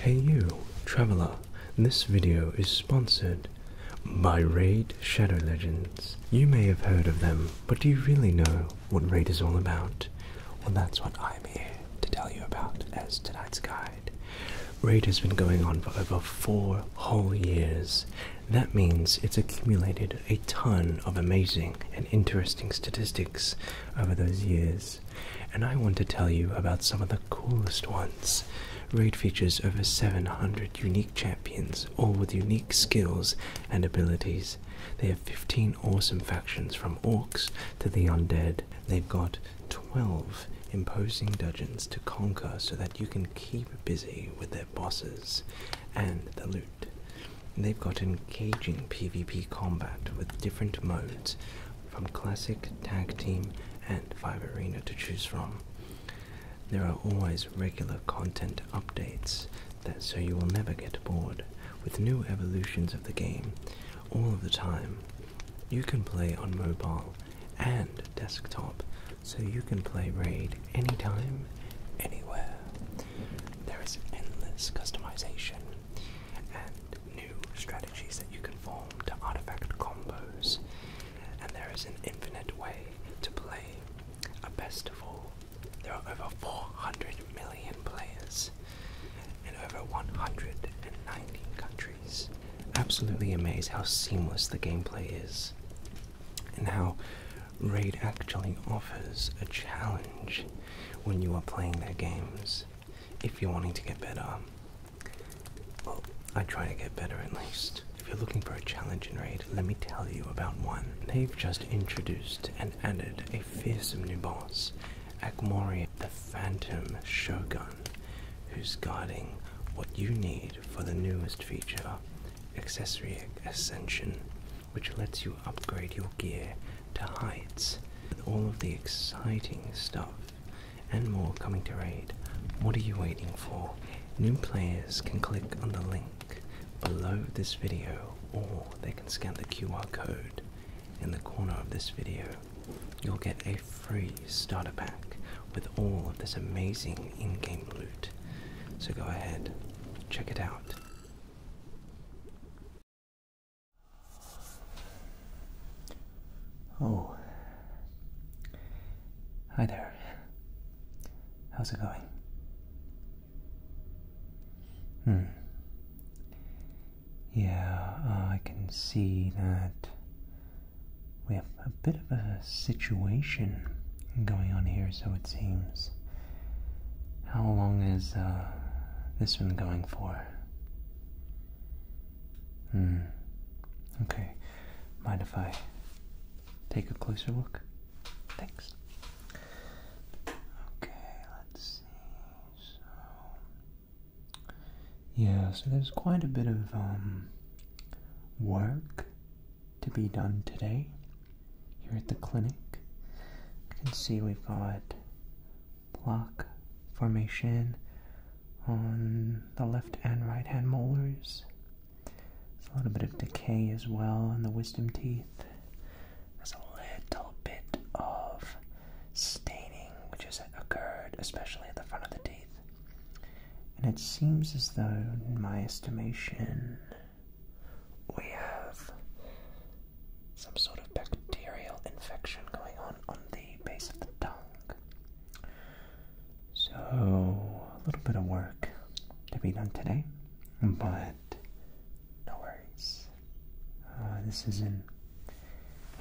Hey you, traveler. This video is sponsored by Raid Shadow Legends. You may have heard of them, but do you really know what Raid is all about? Well, that's what I'm here to tell you about as tonight's guide. Raid has been going on for over four whole years, that means it's accumulated a ton of amazing and interesting statistics over those years, and I want to tell you about some of the coolest ones. Raid features over 700 unique champions, all with unique skills and abilities. They have 15 awesome factions from orcs to the undead. They've got 12 imposing dungeons to conquer so that you can keep busy with bosses and the loot. They've got engaging PvP combat with different modes, from classic, tag team, and 5 Arena to choose from. There are always regular content updates, so you will never get bored, with new evolutions of the game all of the time. You can play on mobile and desktop so you can play Raid anytime, anywhere. There is endless customization and new strategies that you can form to artifact combos, and there is an infinite way to play. A uh, best of all, there are over 400 million players in over 190 countries. Absolutely amazed how seamless the gameplay is and how raid actually offers a challenge when you are playing their games if you're wanting to get better well i try to get better at least if you're looking for a challenge in raid let me tell you about one they've just introduced and added a fearsome new boss akmoria the phantom shogun who's guarding what you need for the newest feature, Accessory Ascension, which lets you upgrade your gear to heights with all of the exciting stuff and more coming to raid. What are you waiting for? New players can click on the link below this video or they can scan the QR code in the corner of this video. You'll get a free starter pack with all of this amazing in-game loot. So go ahead, check it out. Oh. Hi there. How's it going? Hmm. Yeah, I can see that we have a bit of a situation going on here, so it seems. How long is uh, this one going for? Hmm. Okay. Mind if I take a closer look? Thanks. Okay, let's see. yeah, so there's quite a bit of um, work to be done today here at the clinic. You can see we've got block formation on the left and right hand molars. There's a little bit of decay as well on the wisdom teeth. There's a little bit of staining which has occurred, especially at the front of the teeth. And it seems as though, in my estimation, we have some sort of bacterial infection going on on the base of the tongue. So, a little bit of work to be done today, but no worries. Uh, this isn't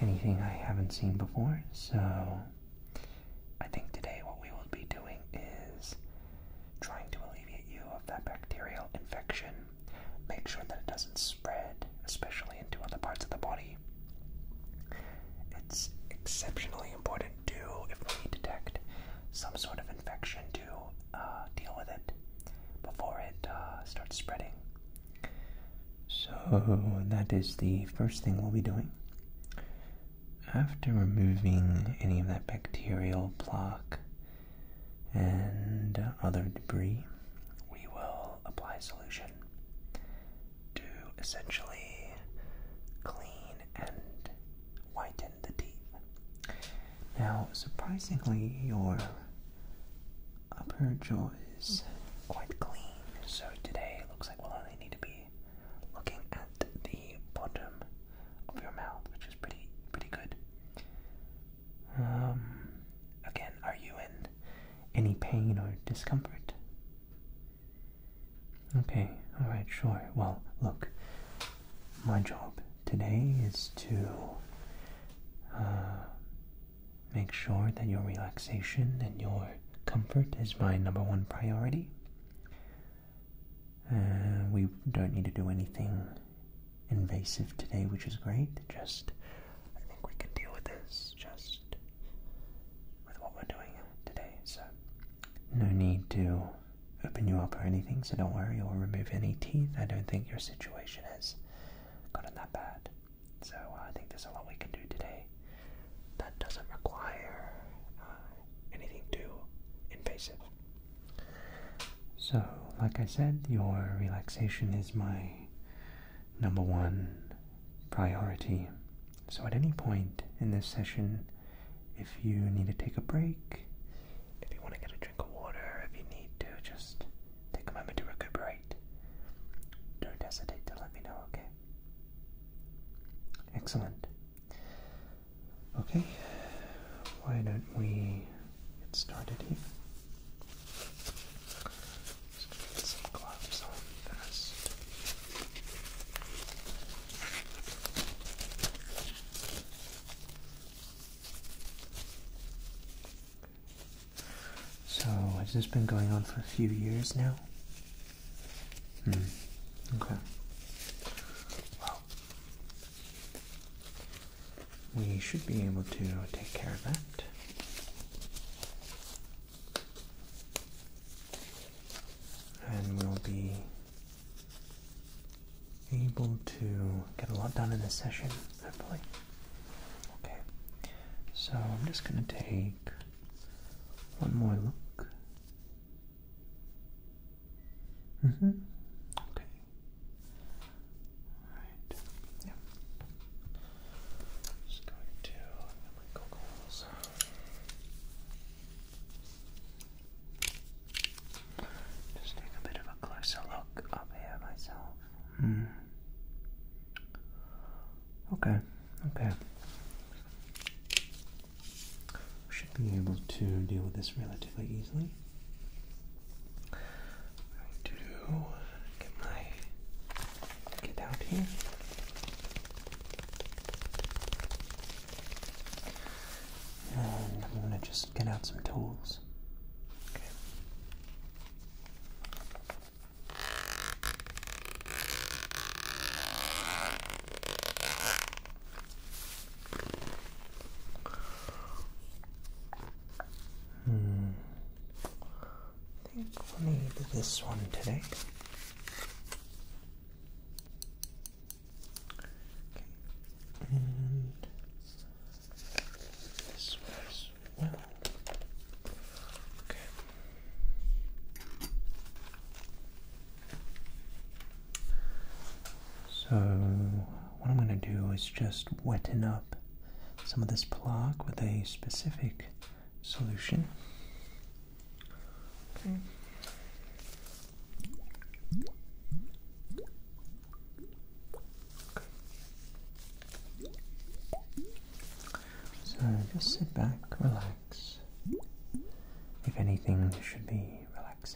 anything I haven't seen before, so I think today what we will be doing is trying to alleviate you of that bacterial infection, make sure that it doesn't spread, especially into other parts of the body. It's exceptionally important to, if we detect some sort of infection, to uh, deal with it before it uh, starts spreading. So, that is the first thing we'll be doing after removing any of that bacterial plaque and other debris, we will apply solution to essentially clean and whiten the teeth. Now, surprisingly, your upper jaw is quite clean, so today it looks like well, will only need to be looking at the bottom of your mouth, which is pretty pretty good. Um, again, are you in any pain or discomfort? Okay, all right, sure. Well, look, my job today is to uh, make sure that your relaxation and your comfort is my number one priority. Uh, we don't need to do anything invasive today, which is great. Just, I think we can deal with this just with what we're doing today. So, no need to open you up or anything, so don't worry, We or remove any teeth. I don't think your situation has gotten that bad. So, I think there's a lot we can do today that doesn't require uh, anything too invasive. So, like I said, your relaxation is my number one priority. So, at any point in this session, if you need to take a break, if you want to get a drink of water, if you need to just take a moment to recuperate, don't hesitate to let me know, okay? Excellent. Okay, why don't we get started here? Just going get some gloves on first. So, has this been going on for a few years now? Hmm. Okay. Well, we should be able to take care of that. And we'll be able to get a lot done in this session, hopefully. Okay, so I'm just going to take one more look Mm-hmm. Okay. All right. Yeah. Just going to my goggles. Just take a bit of a closer look up here myself. Hmm. Okay. Okay should be able to deal with this relatively easily. I'm going to get my get out here. And I'm gonna just get out some tools. Hmm. I think we need this one today. Okay. And this one as well. Okay. So what I'm going to do is just wetten up some of this plaque with a specific solution. So just sit back, relax. If anything, should be relaxing.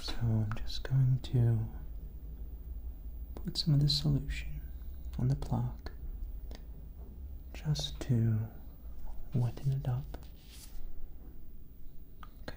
So I'm just going to put some of the solution on the plaque just to wetten it up. Okay.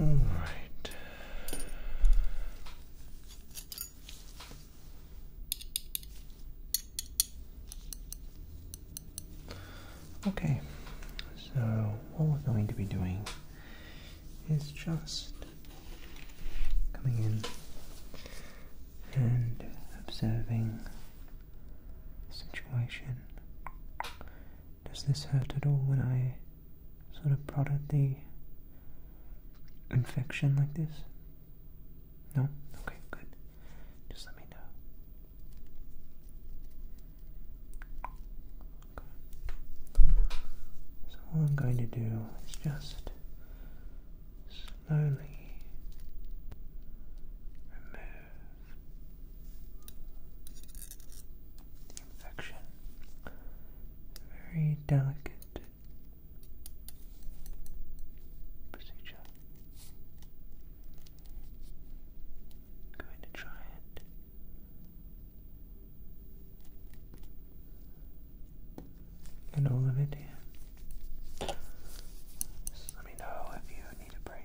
Okay. All right. Okay, so what we're going to be doing is just coming in and observing the situation. Does this hurt at all when I sort of prodded the infection like this? No? Okay, good. Just let me know. So what I'm going to do is just slowly remove infection. Very delicate procedure. going to try it and all of it here. let me know if you need a break.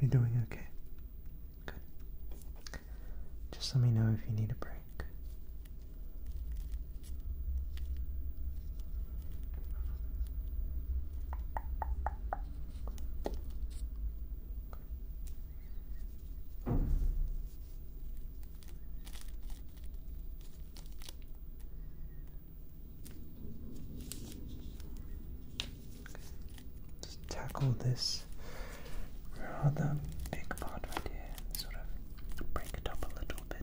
You're doing okay. Good. Just let me know if you need a break. Let's tackle this rather big part right here, sort of break it up a little bit.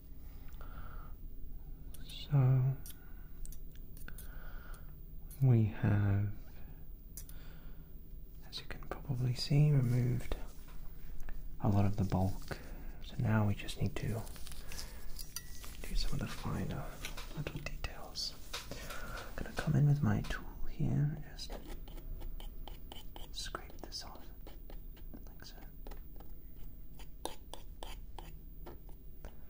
so we have, as you can probably see, removed a lot of the bulk. So now we just need to do some of the finer little details. I'm going to come in with my tool here and just scrape this off like so.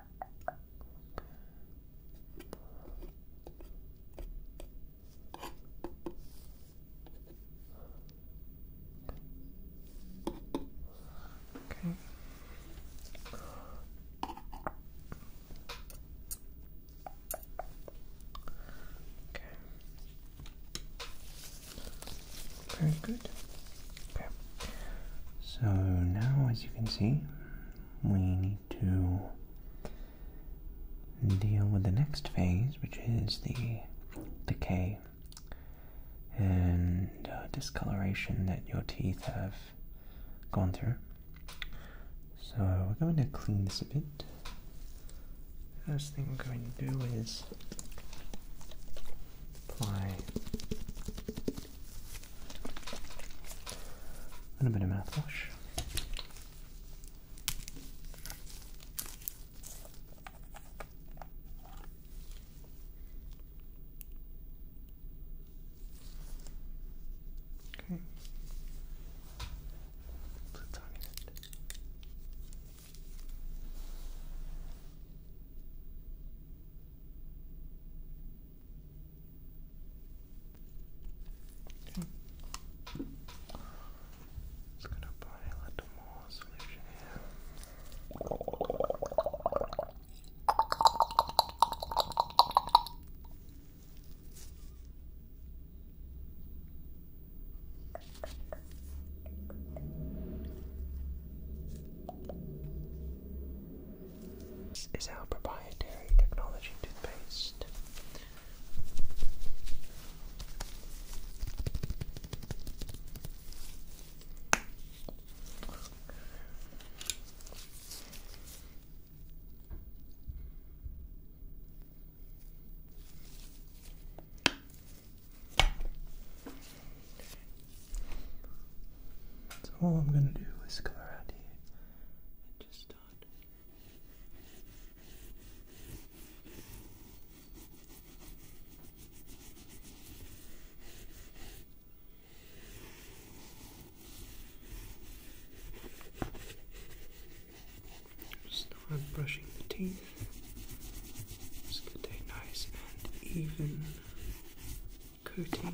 Okay. Okay. Very good. Okay. So now, as you can see, we need to deal with the next phase, which is the decay and uh, discoloration that your teeth have gone through. So we're going to clean this a bit. First thing we're going to do is apply and a bit of mouthwash. Okay. Okay. Just gonna apply a little more solution here. Okay. This is our proprietary technology toothpaste. So all I'm going to do is color out here just start Start brushing the teeth. Just get a nice and even coating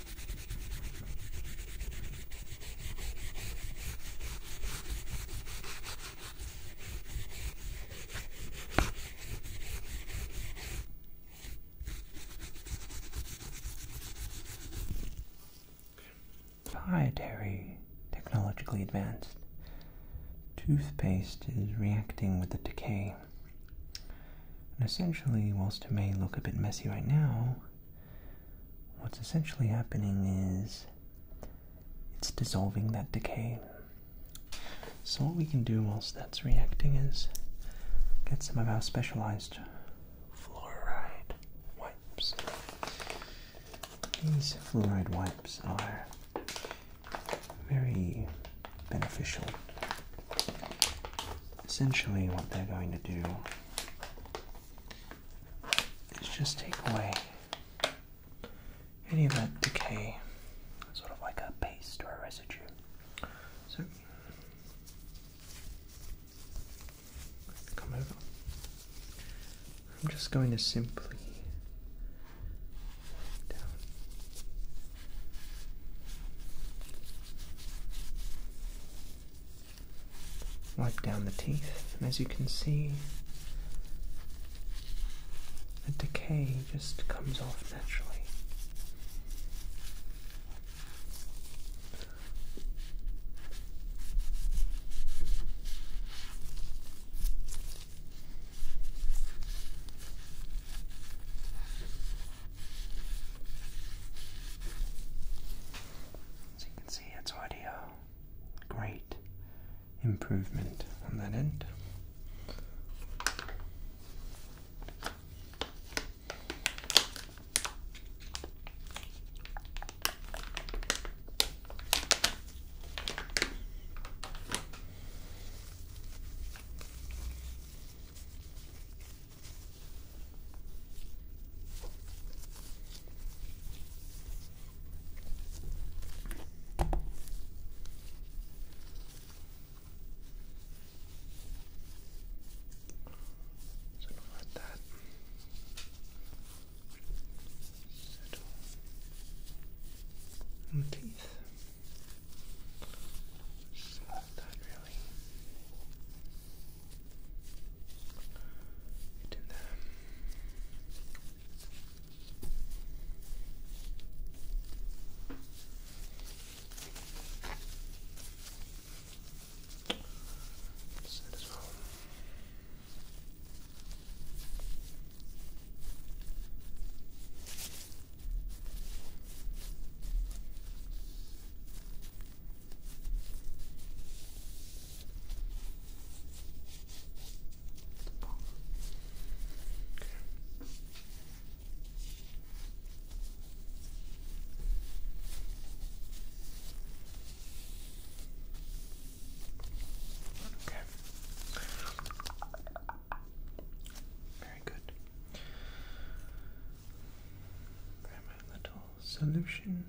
Proprietary, technologically advanced toothpaste is reacting with the decay. And essentially, whilst it may look a bit messy right now, what's essentially happening is it's dissolving that decay. So, what we can do whilst that's reacting is get some of our specialized fluoride wipes. These fluoride wipes are very beneficial. Essentially, what they're going to do is just take away any of that decay, sort of like a paste or a residue. So come over. I'm just going to simply down wipe down the teeth, and as you can see, the decay just comes off naturally. As you can see, see it's already a great improvement on that end. So do that settle on teeth. Just that really Get in there. Set as well. Very good. Grab my little solution.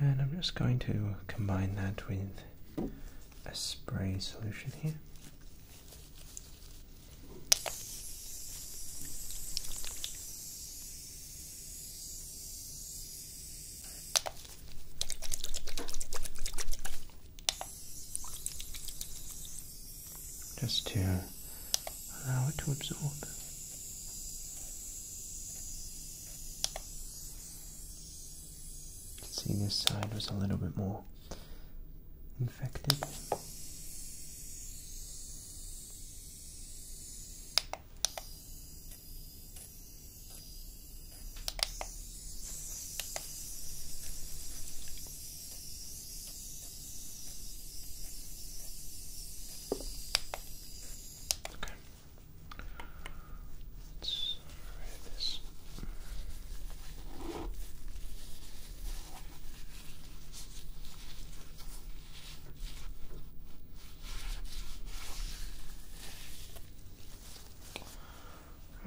And I'm just going to combine that with a spray solution here just to allow it to absorb. See, this side was a little bit more infected. Okay. Let's read this. Okay.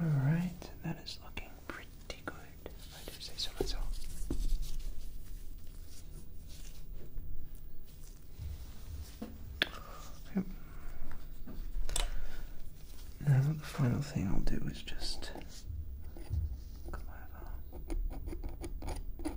All right, that is looking pretty good. I do say so myself. Yep. Now the final thing I'll do is just come over.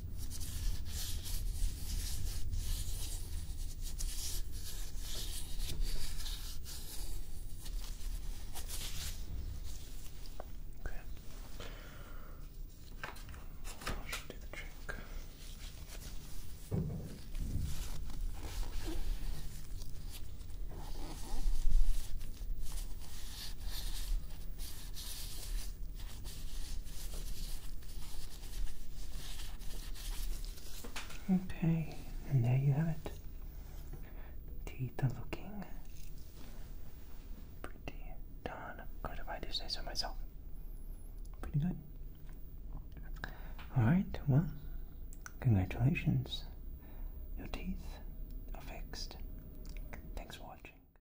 Okay. That should do the trick. Okay. Okay, and there you have it. Teeth are looking pretty darn good, if I do say so myself. Pretty good. Alright, well, congratulations. Your teeth are fixed. Thanks for watching.